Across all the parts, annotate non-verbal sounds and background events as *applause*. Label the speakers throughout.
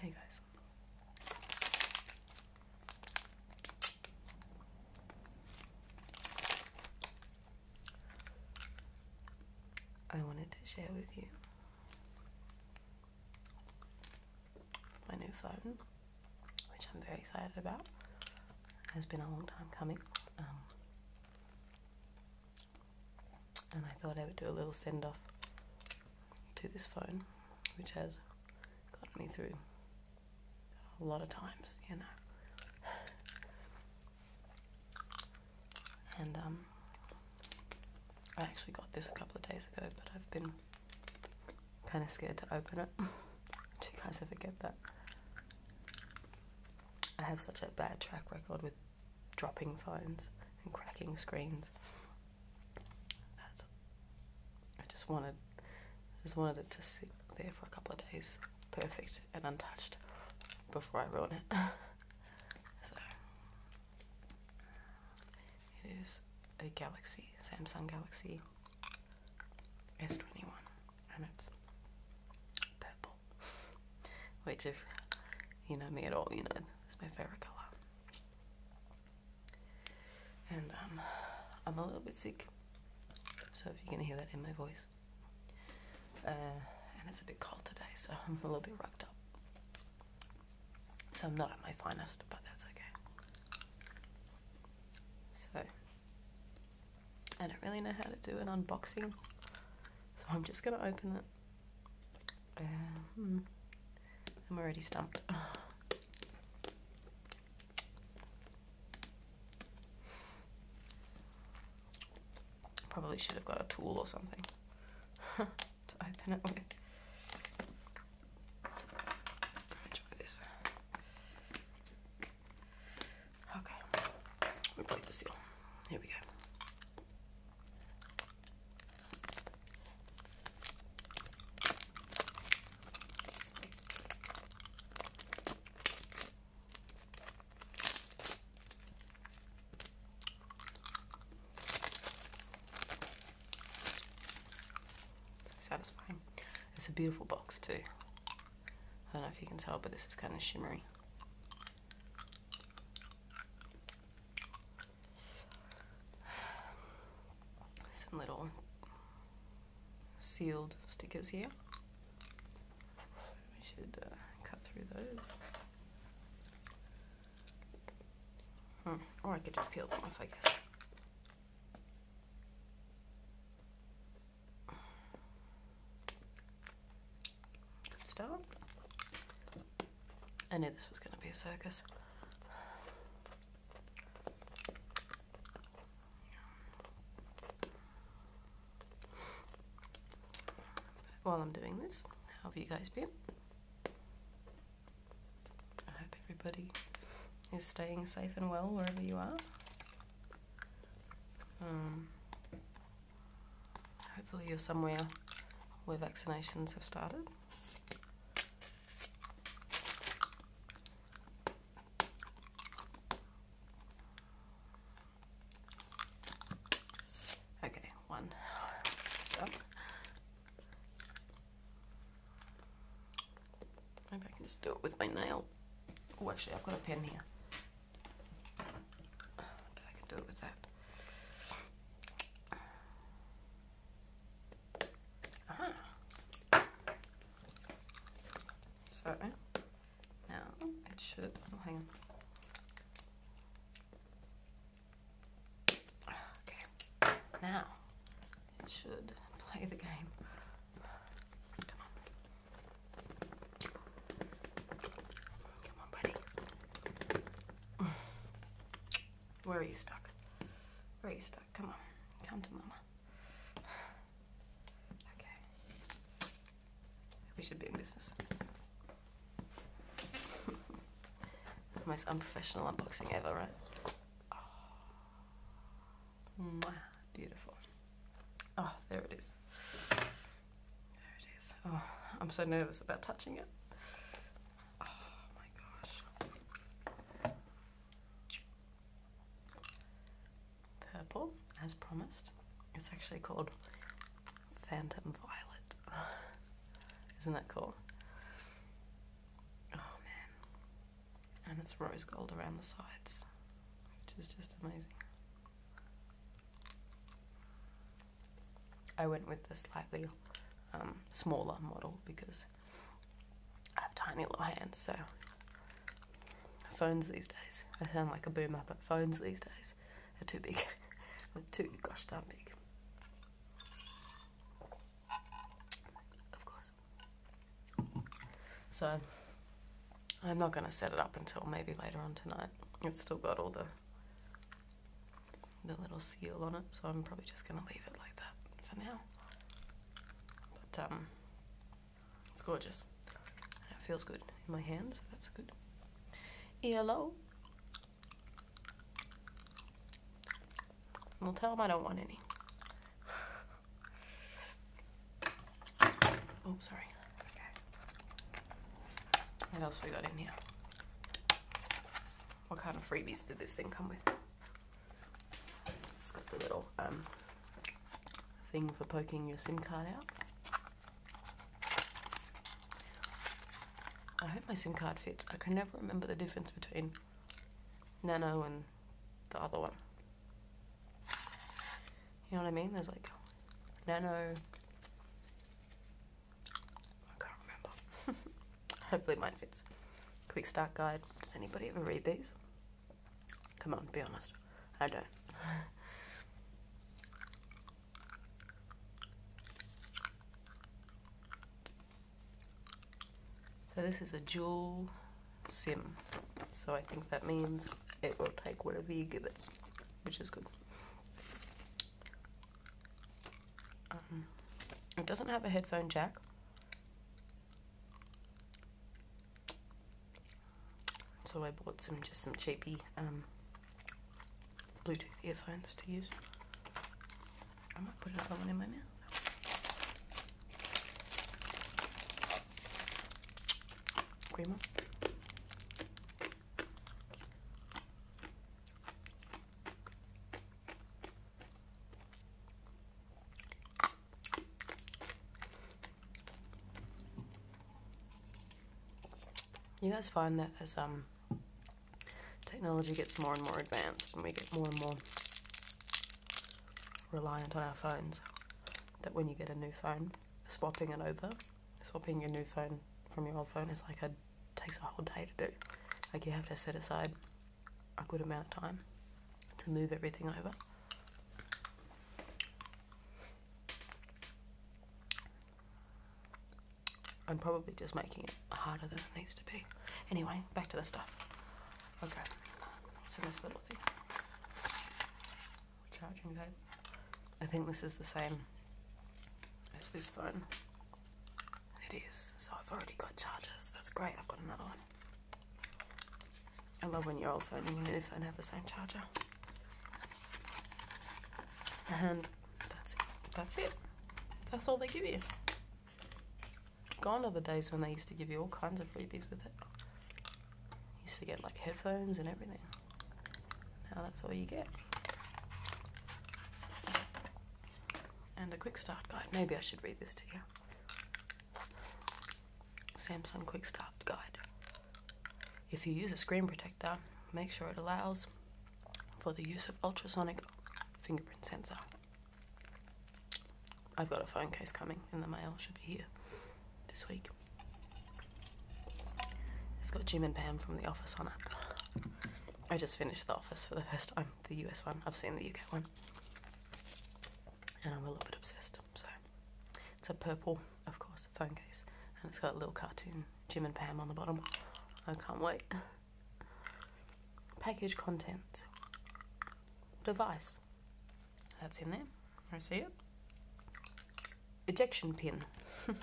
Speaker 1: Hey guys. I wanted to share with you my new phone, which I'm very excited about. It has been a long time coming. Um, and I thought I would do a little send off to this phone, which has got me through a lot of times, you know. And um, I actually got this a couple of days ago, but I've been kind of scared to open it. *laughs* Do you guys ever that? I have such a bad track record with dropping phones and cracking screens. I just wanted, just wanted it to sit there for a couple of days, perfect and untouched, before I ruin it. *laughs* so it is a Galaxy, Samsung Galaxy S21, and it's purple. Wait, if you know me at all, you know it's my favorite color. And um, I'm a little bit sick, so if you can hear that in my voice. Uh, and it's a bit cold today, so I'm a little bit rugged up. So I'm not at my finest, but that's okay. So, I don't really know how to do an unboxing, so I'm just going to open it uh, hmm. I'm already stumped. Probably should have got a tool or something *laughs* to open it with. Try this. Okay, we break the seal. Here we go. So satisfying. It's a beautiful box too. I don't know if you can tell, but this is kind of shimmery some little sealed stickers here. So we should uh, cut through those. Hmm. Or I could just peel them off, I guess. Good start. I knew this was going to be a circus. While I'm doing this, how have you guys been? I hope everybody is staying safe and well wherever you are. Um, Hopefully you're somewhere where vaccinations have started. Okay, one. Maybe I can just do it with my nail. Oh, actually, I've got a pen here. I can do it with that. Ah. So now it should oh, hang on. Okay. Now it should play the game. Come on, buddy. Where are you stuck? Where are you stuck? Come on. Come to mama. Okay. We should be in business. *laughs* Most unprofessional unboxing ever, right? Oh. Beautiful. Oh, there it is. There it is. Oh, I'm so nervous about touching it. Oh my gosh. Purple, as promised. It's actually called Phantom Violet. *laughs* Isn't that cool? Oh man. And it's rose gold around the sides, which is just amazing. I went with the slightly um, smaller model because I have tiny little hands, so phones these days. I sound like a boomer, but phones these days are too big. *laughs* They're too gosh darn big. Of course. So I'm not going to set it up until maybe later on tonight. It's still got all the the little seal on it, so I'm probably just gonna leave it like that for now. But um, it's gorgeous. it feels good in my hand, so that's good. ELO. We'll tell them I don't want any. *laughs* oh, sorry. What else we got in here? what kind of freebies did this thing come with? It's got the little um, thing for poking your SIM card out. I hope my SIM card fits. I can never remember the difference between Nano and the other one. You know what I mean? There's like Nano I can't remember. *laughs* Hopefully mine fits. Quick start guide. Does anybody ever read these? Come on, be honest. I don't. so this is a jewel sim. So I think that means it will take whatever you give it, which is good. Um, it doesn't have a headphone jack. So I bought some, just some cheapy um, Bluetooth earphones to use. I might put another one in my mouth. creamer. You guys find that as um technology gets more and more advanced and we get more and more reliant on our phones that when you get a new phone, swapping it over, swapping your new phone from your old phone is like a takes a whole day to do. Like you have to set aside a good amount of time to move everything over. I'm probably just making it harder than it needs to be. Anyway, back to the stuff. Okay, so this little thing. Charging cable. I think this is the same as this phone. It is. So I've already got chargers. That's great. I've got another one. I love when your old phone and your new phone have the same charger. And that's it. That's it. That's all they give you. Gone are the days when they used to give you all kinds of freebies with it. used to get like headphones and everything. Now that's all you get and a quick start guide. Maybe I should read this to you. Samsung quick start guide. If you use a screen protector, make sure it allows for the use of ultrasonic fingerprint sensor. I've got a phone case coming in the mail, should be here this week. It's got Jim and Pam from The Office on it. I just finished The Office for the first time the US one. I've seen the UK one. And I'm a little bit obsessed. So it's a purple, of course, phone case. And it's got a little cartoon Jim and Pam on the bottom. I can't wait. Package contents. Device. That's in there. I see it. Ejection pin. *laughs*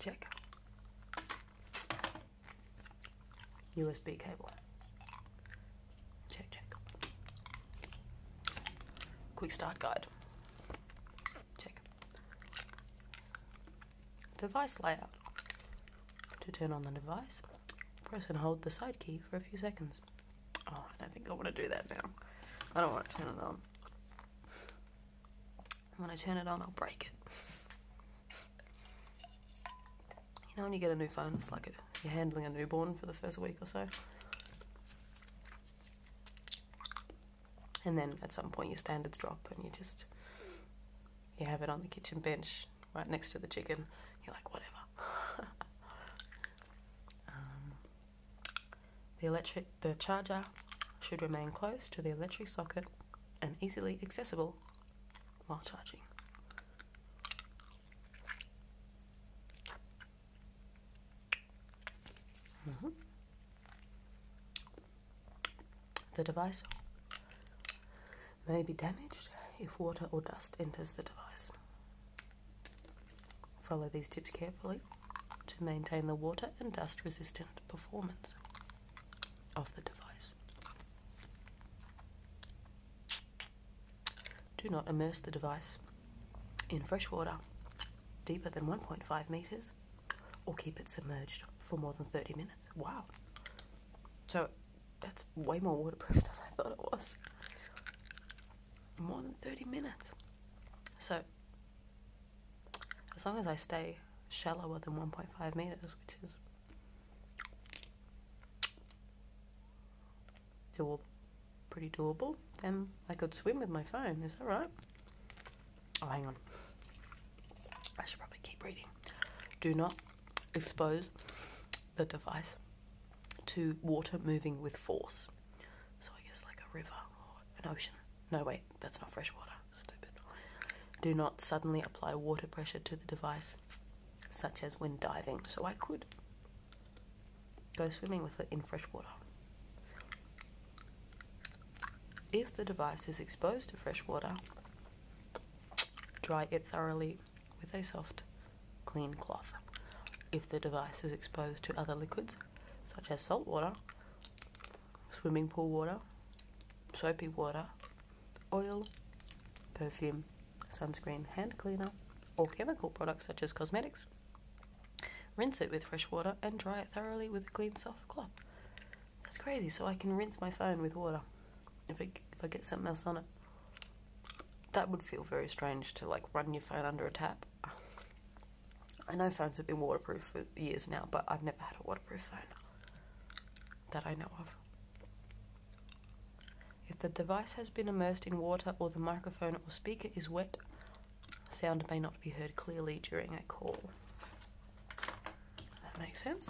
Speaker 1: Check. USB cable. Check, check. Quick start guide. Check. Device layout. To turn on the device, press and hold the side key for a few seconds. Oh, I don't think I want to do that now. I don't want to turn it on. When I turn it on, I'll break it. You know when you get a new phone, it's like you're handling a newborn for the first week or so. And then at some point your standards drop and you just, you have it on the kitchen bench right next to the chicken. You're like, whatever. *laughs* Um, the electric the charger should remain close to the electric socket and easily accessible while charging. Mm-hmm. The device may be damaged if water or dust enters the device. Follow these tips carefully to maintain the water and dust resistant performance of the device. Do not immerse the device in fresh water deeper than 1.5 meters or keep it submerged for more than 30 minutes. Wow. So that's way more waterproof *laughs* than I thought it was. More than 30 minutes. So as long as I stay shallower than 1.5 meters, which is doable, pretty doable, then I could swim with my phone. Is that right? Oh, hang on. I should probably keep reading. Do not expose the device to water moving with force. So I guess like a river or an ocean. No, wait, that's not fresh water. Stupid. Do not suddenly apply water pressure to the device, such as when diving. So I could go swimming with it in fresh water. If the device is exposed to fresh water, dry it thoroughly with a soft, clean cloth. If the device is exposed to other liquids, such as salt water, swimming pool water, soapy water, oil, perfume, sunscreen, hand cleaner, or chemical products such as cosmetics. Rinse it with fresh water and dry it thoroughly with a clean soft cloth. That's crazy, so I can rinse my phone with water if, if I get something else on it. That would feel very strange to like run your phone under a tap. I know phones have been waterproof for years now, but I've never had a waterproof phone that I know of. If the device has been immersed in water or the microphone or speaker is wet, sound may not be heard clearly during a call. That makes sense.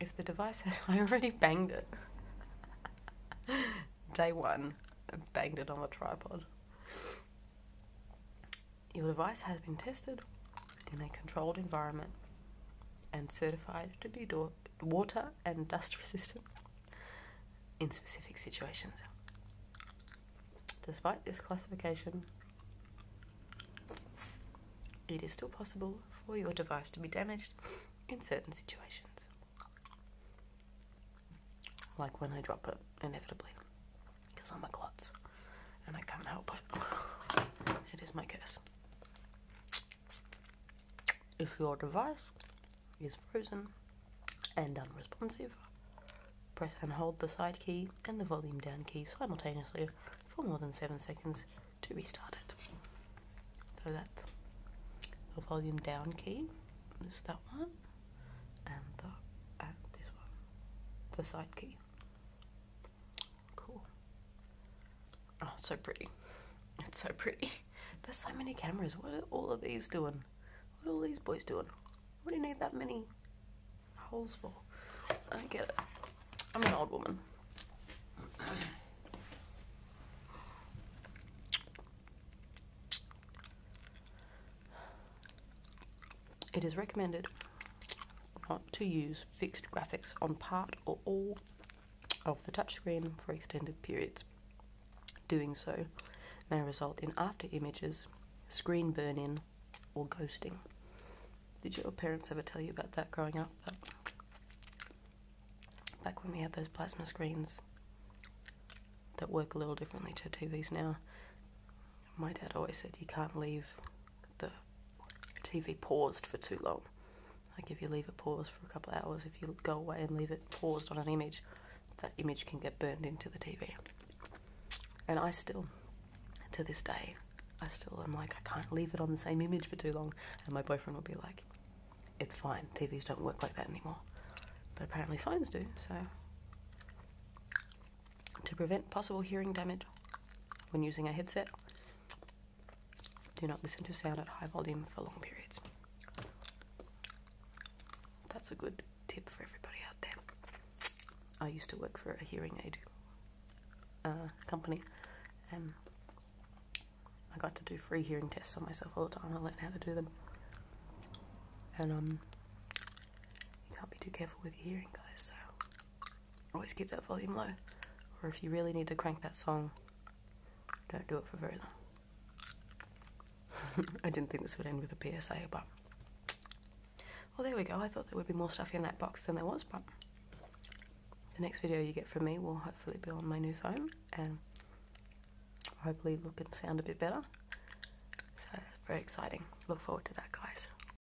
Speaker 1: If the device has... *laughs* I already banged it. *laughs* Day one. I banged it on the tripod. Your device has been tested in a controlled environment and certified to be water and dust *laughs* resistant in specific situations. Despite this classification, it is still possible for your device to be damaged in certain situations, like when I drop it inevitably because I'm a klutz and I can't help it. It is my curse. If your device is frozen and unresponsive, press and hold the side key and the volume down key simultaneously for more than 7 seconds to restart it. So that's the volume down key, is that one, and, and this one, the side key. Cool. Oh, so pretty. It's so pretty. There's so many cameras. What are all of these doing? What are all these boys doing? What do you need that many holes for? I get it. I'm an old woman. It is recommended not to use fixed graphics on part or all of the touchscreen for extended periods. Doing so may result in after images, screen burn in, or ghosting. Did your parents ever tell you about that growing up? back when we had those plasma screens that work a little differently to TVs now, my dad always said you can't leave the TV paused for too long. Like if you leave it paused for a couple of hours, if you go away and leave it paused on an image, that image can get burned into the TV. And I still, to this day, I still am like, I can't leave it on the same image for too long. And my boyfriend will be like, it's fine, TVs don't work like that anymore. But apparently phones do, so to prevent possible hearing damage when using a headset. Do not listen to sound at high volume for long periods. That's a good tip for everybody out there. I used to work for a hearing aid uh, company and I got to do free hearing tests on myself all the time. I learned how to do them. And um, you can't be too careful with your hearing, guys, so always keep that volume low. Or if you really need to crank that song, don't do it for very long. *laughs* I didn't think this would end with a PSA, but. Well, there we go. I thought there would be more stuff in that box than there was, but the next video you get from me will hopefully be on my new phone and hopefully look and sound a bit better. So, very exciting. Look forward to that, guys.